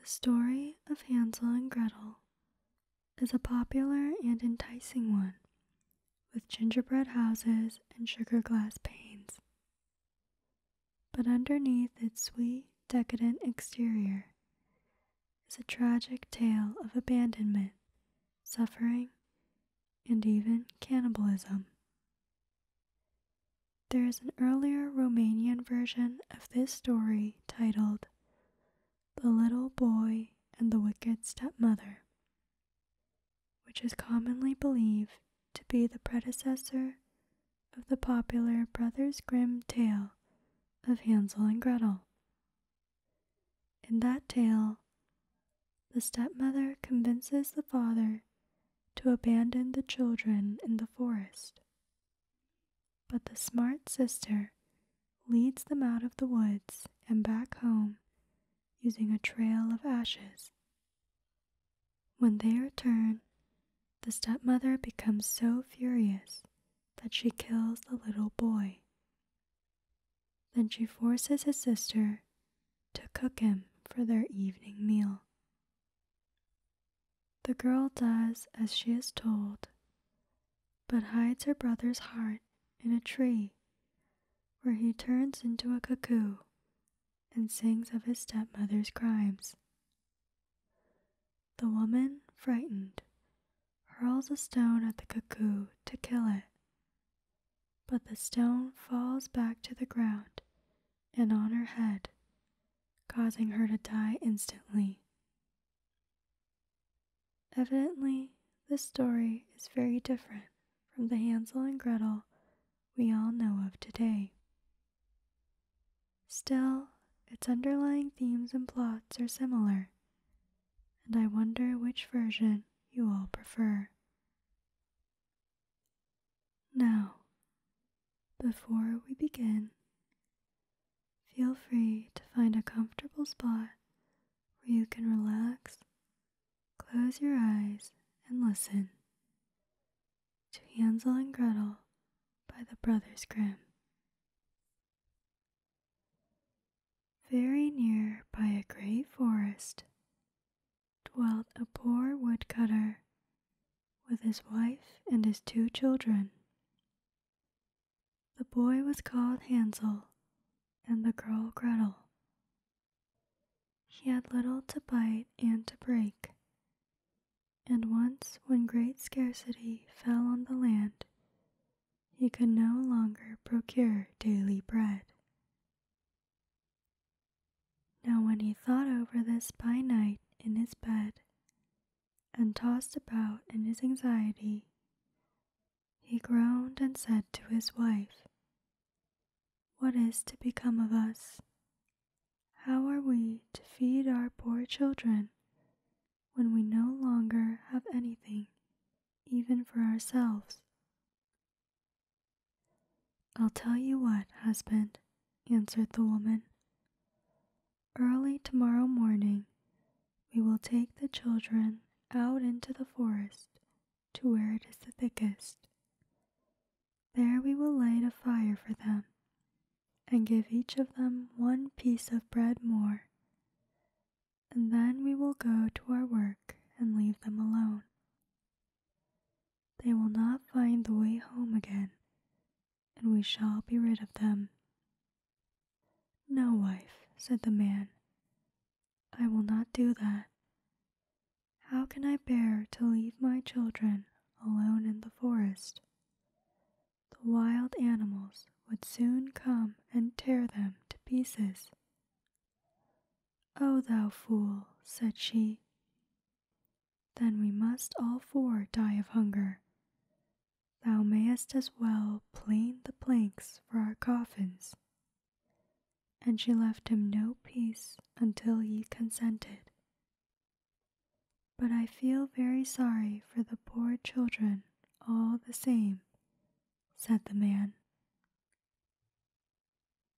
The story of Hansel and Gretel is a popular and enticing one, with gingerbread houses and sugar glass panes. But underneath its sweet, decadent exterior is a tragic tale of abandonment, suffering, and even cannibalism. There is an earlier Romanian version of this story titled The Little Boy and the Wicked Stepmother, which is commonly believed to be the predecessor of the popular Brothers Grimm tale of Hansel and Gretel. In that tale, the stepmother convinces the father to abandon the children in the forest. But the smart sister leads them out of the woods and back home using a trail of ashes. When they return, the stepmother becomes so furious that she kills the little boy. Then she forces his sister to cook him for their evening meal. The girl does as she is told, but hides her brother's heart in a tree, where he turns into a cuckoo and sings of his stepmother's crimes. The woman, frightened, hurls a stone at the cuckoo to kill it, but the stone falls back to the ground and on her head, causing her to die instantly. Evidently, this story is very different from the Hansel and Gretel we all know of today. Still, its underlying themes and plots are similar, and I wonder which version you all prefer. Now, before we begin, feel free to find a comfortable spot where you can relax, close your eyes, and listen to Hansel and Gretel by the Brothers Grimm. Very near by a great forest dwelt a poor woodcutter with his wife and his two children. The boy was called Hansel and the girl Gretel. He had little to bite and to break. And once, when great scarcity fell on the land, he could no longer procure daily bread. Now, when he thought over this by night in his bed, and tossed about in his anxiety, he groaned and said to his wife, What is to become of us? How are we to feed our poor children when we no longer have anything, even for ourselves? I'll tell you what, husband, answered the woman. Early tomorrow morning, we will take the children out into the forest to where it is the thickest. There we will light a fire for them and give each of them one piece of bread more. And then we will go to our work and leave them alone. They will not find the way home again, and we shall be rid of them. No, wife, said the man, I will not do that. How can I bear to leave my children alone in the forest? The wild animals would soon come and tear them to pieces. O oh, thou fool, said she, then we must all four die of hunger. Thou mayest as well plane the planks for our coffins. And she left him no peace until he consented. But I feel very sorry for the poor children all the same, said the man.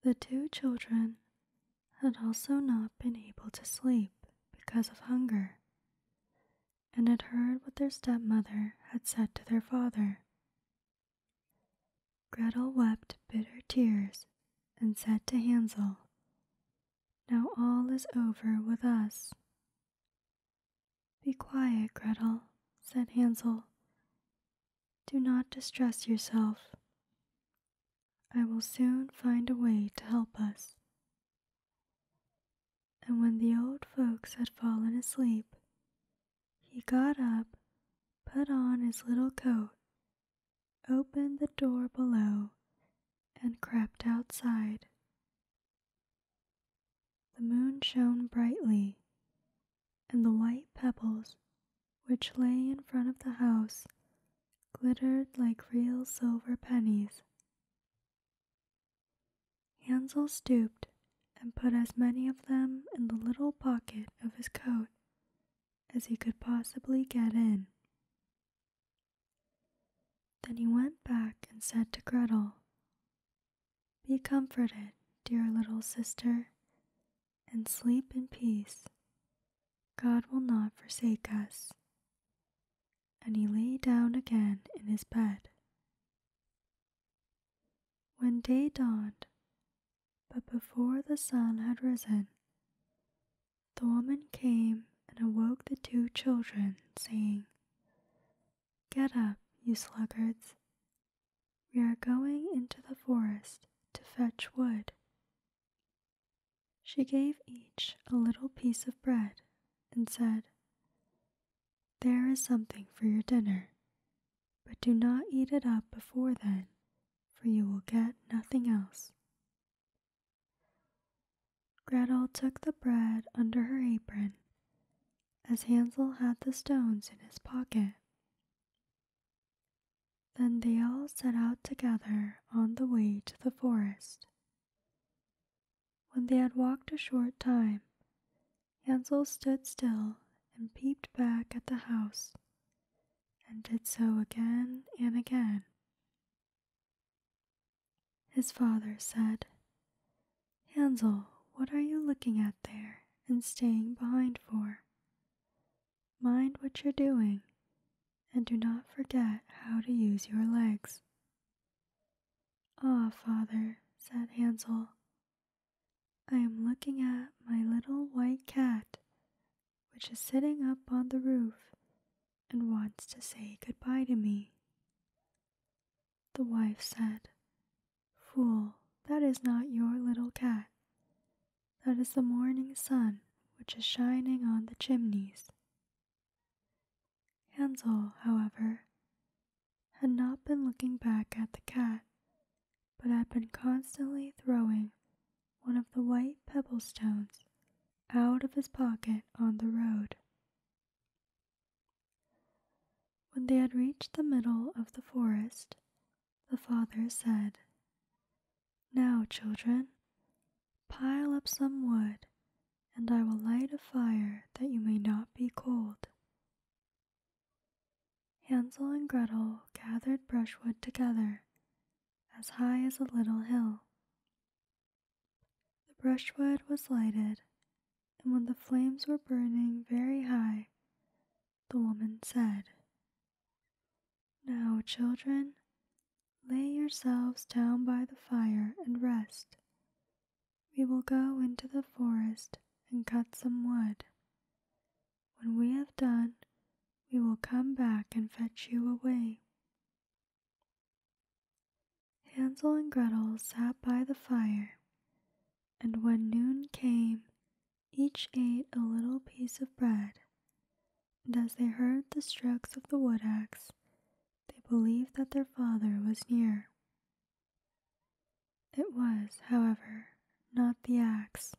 The two children had also not been able to sleep because of hunger, and had heard what their stepmother had said to their father. Gretel wept bitter tears and said to Hansel, Now all is over with us. Be quiet, Gretel, said Hansel. Do not distress yourself. I will soon find a way to help us. And when the old folks had fallen asleep, he got up, put on his little coat, opened the door below, and crept outside. The moon shone brightly, and the white pebbles which lay in front of the house, glittered like real silver pennies. Hansel stooped and put as many of them in the little pocket of his coat as he could possibly get in. Then he went back and said to Gretel, Be comforted, dear little sister, and sleep in peace, God will not forsake us. And he lay down again in his bed. When day dawned, but before the sun had risen, the woman came and awoke the two children, saying, Get up, you sluggards. We are going into the forest to fetch wood she gave each a little piece of bread and said, There is something for your dinner, but do not eat it up before then, for you will get nothing else. Gretel took the bread under her apron, as Hansel had the stones in his pocket. Then they all set out together on the way to the forest. When they had walked a short time, Hansel stood still and peeped back at the house, and did so again and again. His father said, Hansel, what are you looking at there and staying behind for? Mind what you're doing and do not forget how to use your legs. Ah, father, said Hansel, I am looking at my little white cat, which is sitting up on the roof and wants to say good-bye to me. The wife said, Fool, that is not your little cat. That is the morning sun which is shining on the chimneys. Hansel, however, had not been looking back at the cat, but had been constantly throwing one of the white pebble stones out of his pocket on the road. When they had reached the middle of the forest, the father said, Now, children, pile up some wood, and I will light a fire that you may not be cold. Hansel and Gretel gathered brushwood together, as high as a little hill. The brushwood was lighted, and when the flames were burning very high, the woman said. Now, children, lay yourselves down by the fire and rest. We will go into the forest and cut some wood. When we have done, we will come back and fetch you away. Hansel and Gretel sat by the fire, and when noon came, each ate a little piece of bread, and as they heard the strokes of the wood axe, they believed that their father was near. It was, however, not the axe.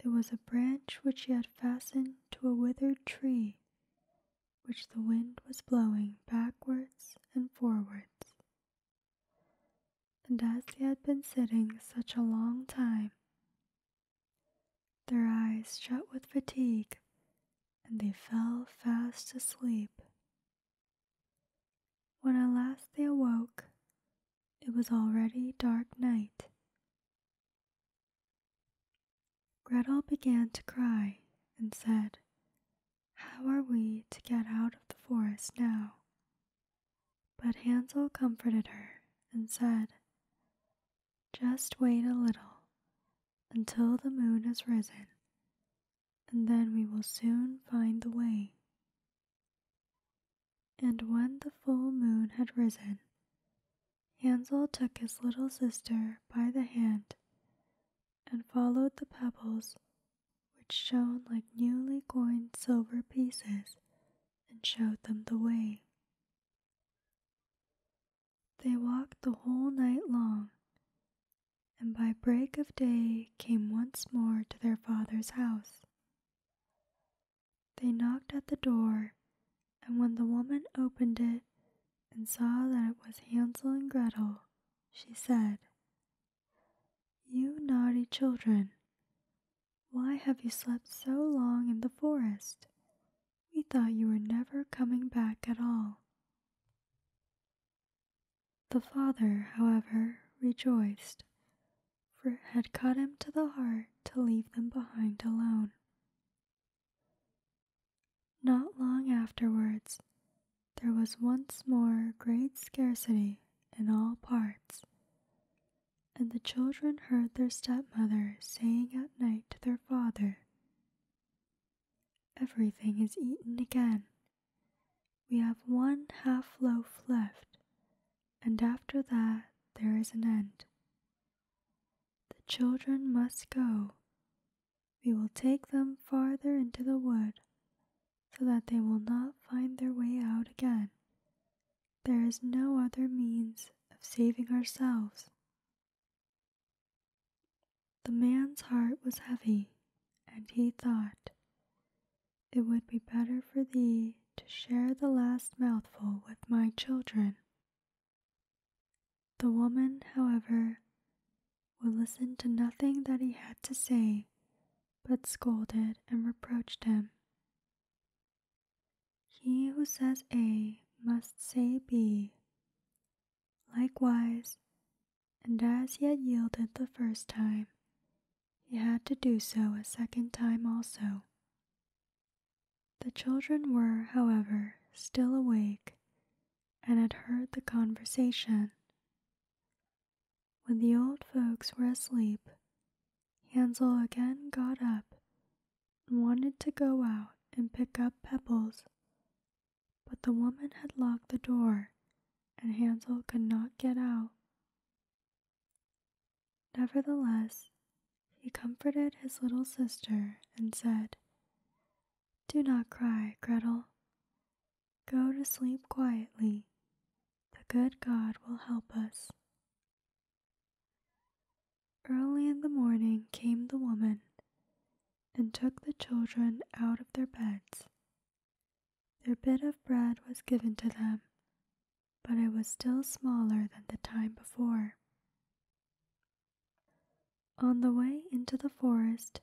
It was a branch which he had fastened to a withered tree, which the wind was blowing backwards and forwards. And as he had been sitting such a long time, their eyes shut with fatigue, and they fell fast asleep. When at last they awoke, it was already dark night. Gretel began to cry and said, How are we to get out of the forest now? But Hansel comforted her and said, Just wait a little until the moon has risen, and then we will soon find the way. And when the full moon had risen, Hansel took his little sister by the hand and followed the pebbles which shone like newly coined silver pieces and showed them the way. They walked the whole night long, and by break of day came once more to their father's house. They knocked at the door, and when the woman opened it and saw that it was Hansel and Gretel, she said, You naughty children, why have you slept so long in the forest? We thought you were never coming back at all. The father, however, rejoiced, for it had cut him to the heart to leave them behind alone. Not long afterwards, there was once more great scarcity in all parts, and the children heard their stepmother saying at night to their father, Everything is eaten again. We have one half loaf left, and after that there is an end. The children must go. We will take them farther into the wood so that they will not find their way out again there is no other means of saving ourselves. The man's heart was heavy, and he thought, It would be better for thee to share the last mouthful with my children. The woman, however, would listen to nothing that he had to say, but scolded and reproached him. He who says A must say B. Likewise, and as he had yielded the first time, he had to do so a second time also. The children were, however, still awake and had heard the conversation. When the old folks were asleep, Hansel again got up and wanted to go out and pick up pebbles, but the woman had locked the door and Hansel could not get out. Nevertheless, he comforted his little sister and said, Do not cry, Gretel. Go to sleep quietly. The good God will help us. Early in the morning came the woman and took the children out of their beds. Their bit of bread was given to them, but it was still smaller than the time before. On the way into the forest,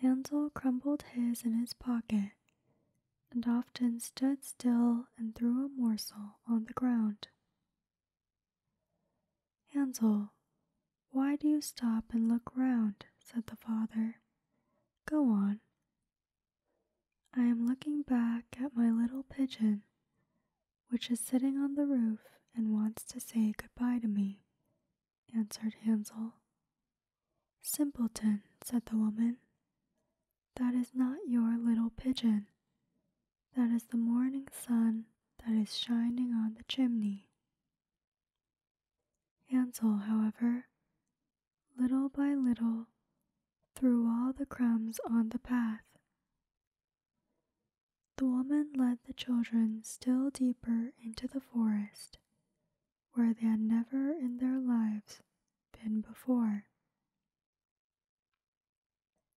Hansel crumbled his in his pocket and often stood still and threw a morsel on the ground. Hansel, why do you stop and look round? said the father. Go on. I am looking back at my little pigeon, which is sitting on the roof and wants to say good-bye to me, answered Hansel. Simpleton, said the woman. That is not your little pigeon. That is the morning sun that is shining on the chimney. Hansel, however, little by little, threw all the crumbs on the path. The woman led the children still deeper into the forest, where they had never in their lives been before.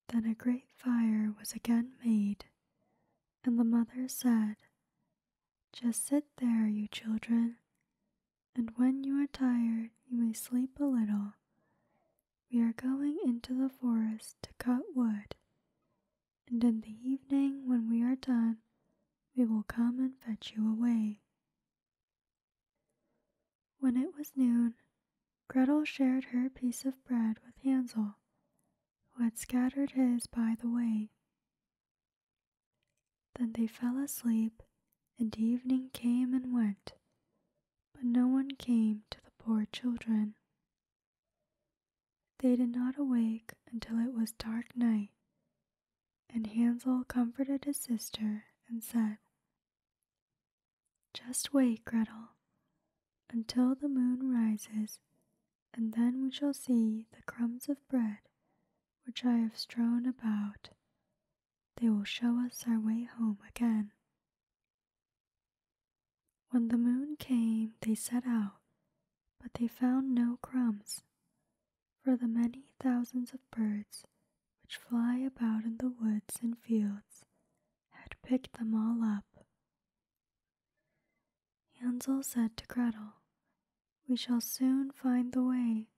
Then a great fire was again made, and the mother said, Just sit there, you children, and when you are tired, you may sleep a little. We are going into the forest to cut wood, and in the evening, when we are done, we will come and fetch you away. When it was noon, Gretel shared her piece of bread with Hansel, who had scattered his by the way. Then they fell asleep, and evening came and went, but no one came to the poor children. They did not awake until it was dark night, and Hansel comforted his sister and said, Just wait, Gretel, until the moon rises, and then we shall see the crumbs of bread which I have strewn about. They will show us our way home again. When the moon came, they set out, but they found no crumbs for the many thousands of birds which fly about in the woods and fields had picked them all up. Hansel said to Gretel, We shall soon find the way,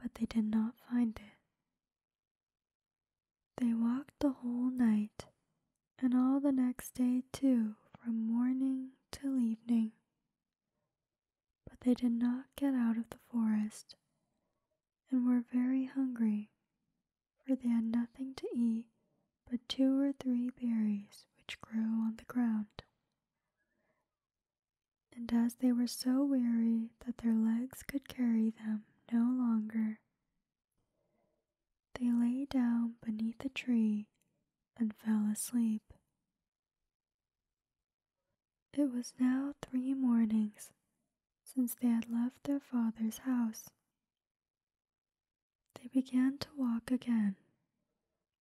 but they did not find it. They walked the whole night and all the next day, too, from morning till evening but they did not get out of the forest and were very hungry, for they had nothing to eat but two or three berries which grew on the ground. And as they were so weary that their legs could carry them no longer, they lay down beneath a tree and fell asleep. It was now three mornings since they had left their father's house. They began to walk again,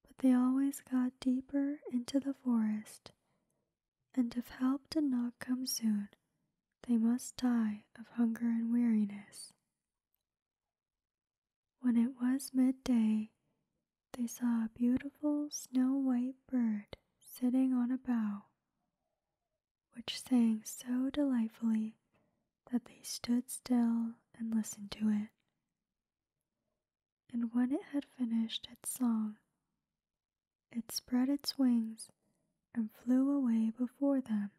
but they always got deeper into the forest, and if help did not come soon, they must die of hunger and weariness. When it was midday, they saw a beautiful snow white bird sitting on a bough, which sang so delightfully that they stood still and listened to it. And when it had finished its song, it spread its wings and flew away before them,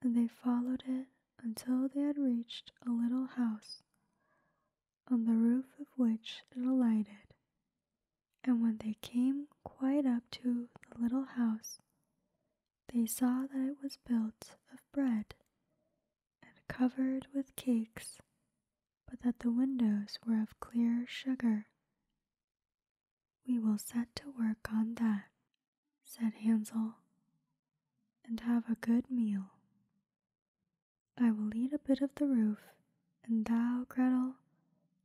and they followed it until they had reached a little house on the roof of which it alighted, and when they came quite up to the little house, they saw that it was built of bread and covered with cakes, but that the windows were of clear sugar. We will set to work on that, said Hansel, and have a good meal. I will eat a bit of the roof, and thou, Gretel,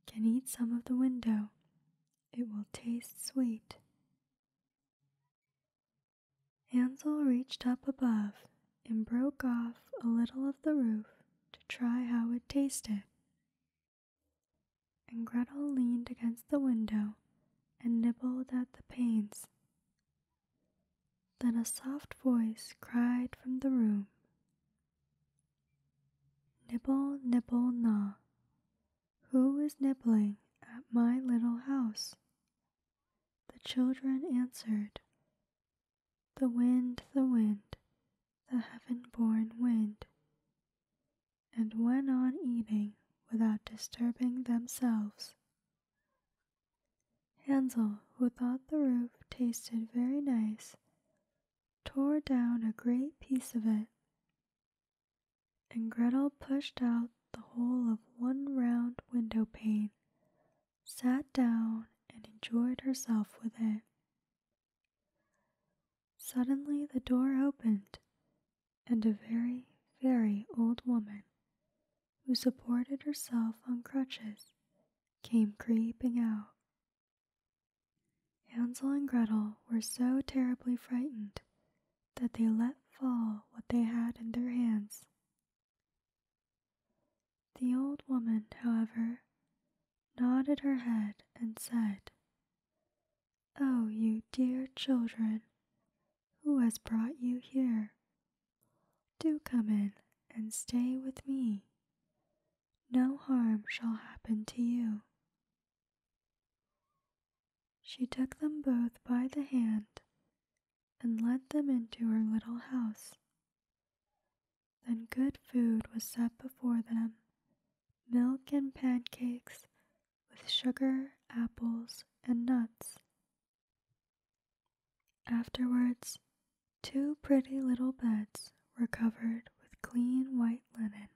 can eat some of the window. It will taste sweet. Hansel reached up above and broke off a little of the roof to try how it tasted. And Gretel leaned against the window and nibbled at the panes. Then a soft voice cried from the room Nibble, nibble, gnaw. Who is nibbling at my little house? The children answered, The wind, the wind, the heaven born wind, and went on eating without disturbing themselves. Hansel, who thought the roof tasted very nice, tore down a great piece of it, and Gretel pushed out the whole of one round window pane, sat down, and enjoyed herself with it. Suddenly the door opened, and a very, very old woman who supported herself on crutches, came creeping out. Hansel and Gretel were so terribly frightened that they let fall what they had in their hands. The old woman, however, nodded her head and said, Oh, you dear children, who has brought you here? Do come in and stay with me. No harm shall happen to you. She took them both by the hand and led them into her little house. Then good food was set before them milk and pancakes with sugar, apples, and nuts. Afterwards, two pretty little beds were covered with clean white linen,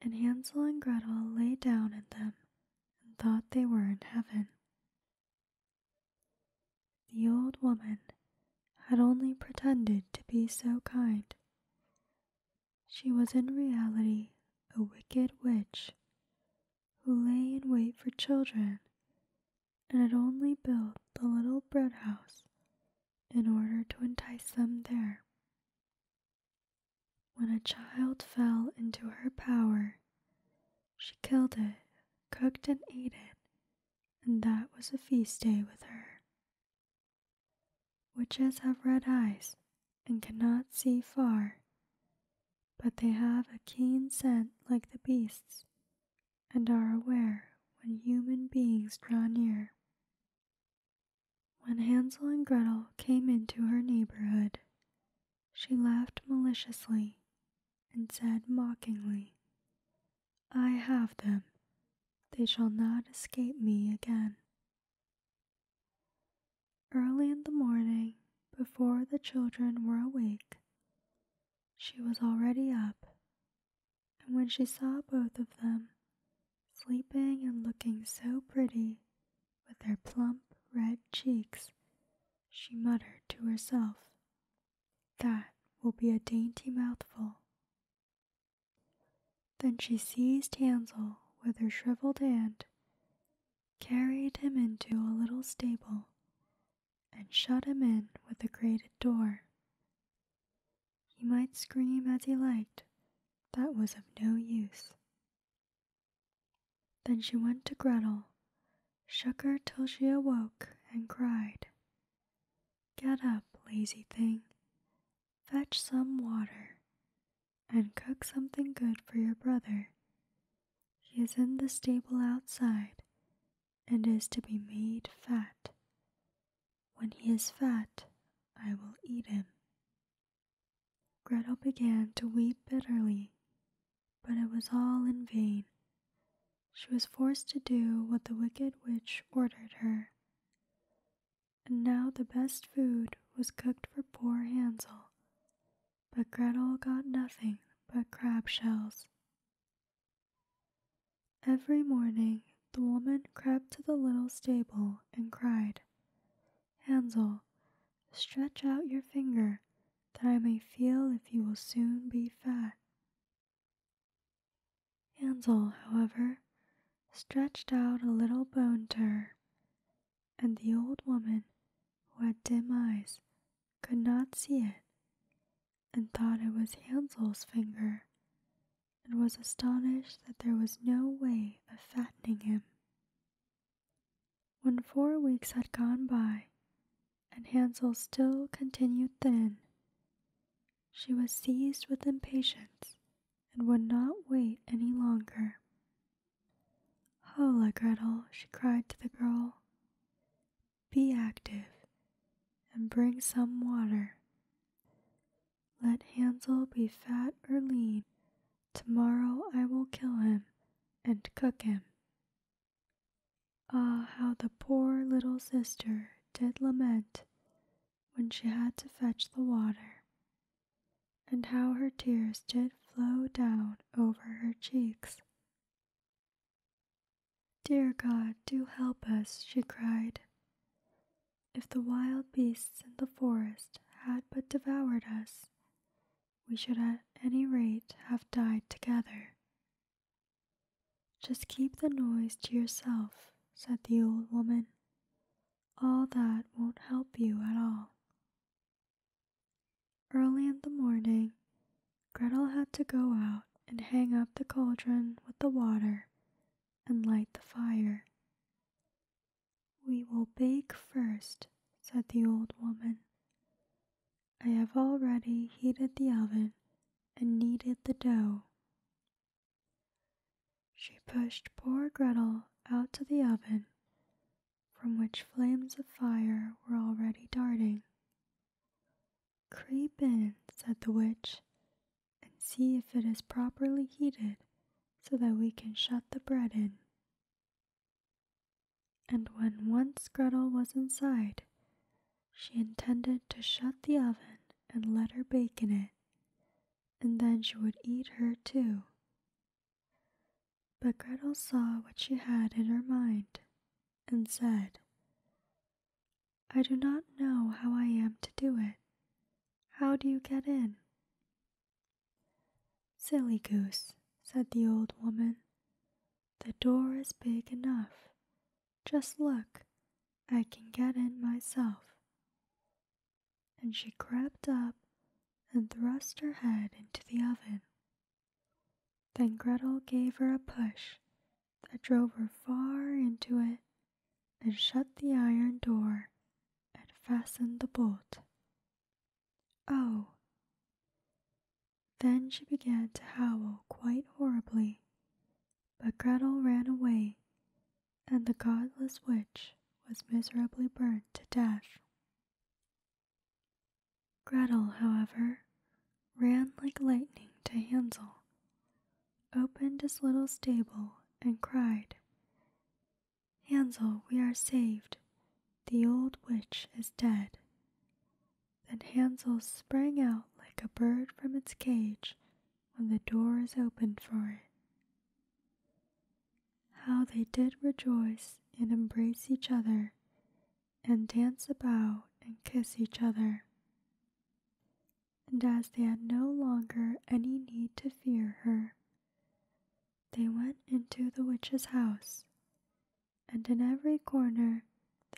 and Hansel and Gretel lay down in them and thought they were in heaven. The old woman had only pretended to be so kind. She was in reality a wicked witch who lay in wait for children and had only built the little bread house in order to entice them there. When a child fell into her power, she killed it, cooked and ate it, and that was a feast day with her. Witches have red eyes and cannot see far, but they have a keen scent like the beasts, and are aware when human beings draw near. When Hansel and Gretel came into her neighborhood, she laughed maliciously and said mockingly, I have them. They shall not escape me again. Early in the morning, before the children were awake, she was already up, and when she saw both of them, sleeping and looking so pretty, with their plump red cheeks, she muttered to herself, That will be a dainty mouthful. Then she seized Hansel with her shriveled hand, carried him into a little stable, and shut him in with a grated door. He might scream as he liked, that was of no use. Then she went to Gretel, shook her till she awoke, and cried, Get up, lazy thing, fetch some water, and cook something good for your brother. He is in the stable outside, and is to be made fat. When he is fat, I will eat him. Gretel began to weep bitterly, but it was all in vain. She was forced to do what the wicked witch ordered her. And now the best food was cooked for poor Hansel, but Gretel got nothing but crab shells. Every morning the woman crept to the little stable and cried, Hansel, stretch out your finger, that I may feel if you will soon be fat. Hansel, however, stretched out a little bone to her, and the old woman, who had dim eyes, could not see it, and thought it was Hansel's finger, and was astonished that there was no way of fattening him. When four weeks had gone by, and Hansel still continued thin, she was seized with impatience and would not wait any longer. Hola, Gretel, she cried to the girl. Be active and bring some water. Let Hansel be fat or lean. Tomorrow I will kill him and cook him. Ah, how the poor little sister did lament when she had to fetch the water, and how her tears did flow down over her cheeks. Dear God, do help us, she cried. If the wild beasts in the forest had but devoured us, we should at any rate have died together. Just keep the noise to yourself, said the old woman. All that won't help you at all. Early in the morning, Gretel had to go out and hang up the cauldron with the water and light the fire. We will bake first," said the old woman. I have already heated the oven and kneaded the dough. She pushed poor Gretel out to the oven, from which flames of fire were already darting. Creep in, said the witch, and see if it is properly heated so that we can shut the bread in. And when once Gretel was inside, she intended to shut the oven and let her bake in it, and then she would eat her too. But Gretel saw what she had in her mind, and said, I do not know how I am to do it. How do you get in? Silly goose, said the old woman. The door is big enough. Just look, I can get in myself. And she crept up and thrust her head into the oven. Then Gretel gave her a push that drove her far into it and shut the iron door and fastened the bolt. Oh! Then she began to howl quite horribly, but Gretel ran away, and the godless witch was miserably burned to death. Gretel, however, ran like lightning to Hansel, opened his little stable, and cried, Hansel, we are saved. The old witch is dead. Then Hansel sprang out like a bird from its cage when the door is opened for it. How they did rejoice and embrace each other and dance about and kiss each other. And as they had no longer any need to fear her, they went into the witch's house, and in every corner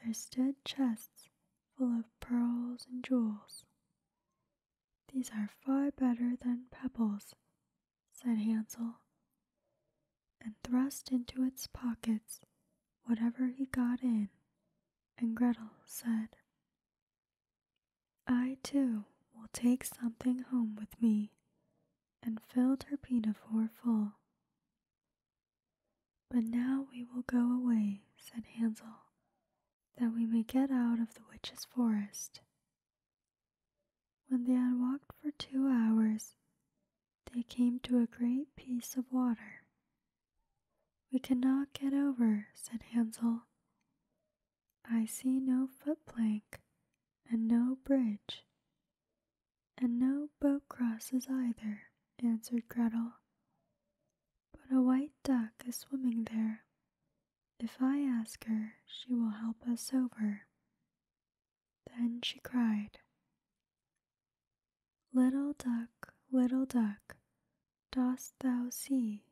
there stood chests full of pearls and jewels. These are far better than pebbles, said Hansel and thrust into its pockets whatever he got in, and Gretel said, I too will take something home with me, and filled her pinafore full. But now we will go away, said Hansel, that we may get out of the witch's forest. When they had walked for two hours, they came to a great piece of water. We cannot get over, said Hansel. I see no foot plank, and no bridge, and no boat crosses either, answered Gretel. But a white duck is swimming there. If I ask her, she will help us over. Then she cried, Little duck, little duck, dost thou see?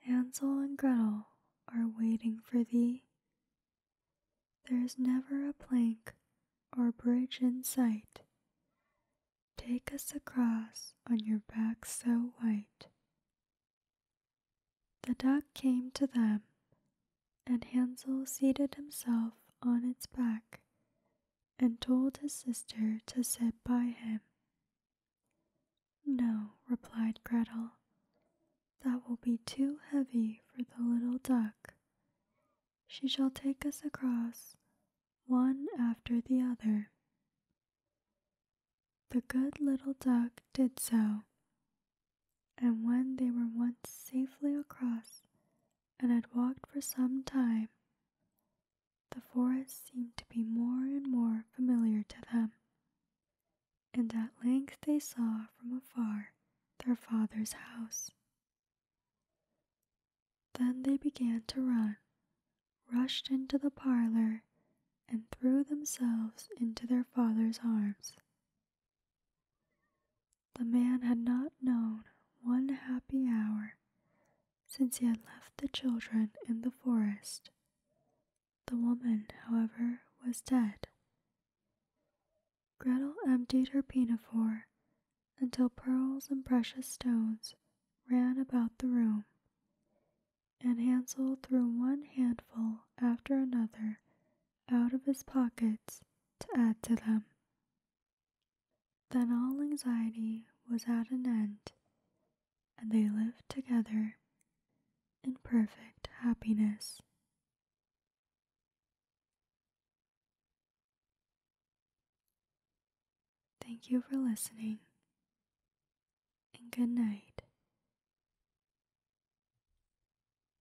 Hansel and Gretel are waiting for thee. There's never a plank or bridge in sight. Take us across on your back so white. The duck came to them and Hansel seated himself on its back and told his sister to sit by him. No, replied Gretel, that will be too heavy for the little duck. She shall take us across, one after the other. The good little duck did so, and when they were once safely across and had walked for some time, the forest seemed to be more and more familiar to them, and at length they saw from afar their father's house. Then they began to run, rushed into the parlor, and threw themselves into their father's arms. The man had not known one happy hour since he had left the children in the forest. The woman, however, was dead. Gretel emptied her pinafore until pearls and precious stones ran about the room, and Hansel threw one handful after another out of his pockets to add to them. Then all anxiety was at an end, and they lived together in perfect happiness. Thank you for listening, and good night.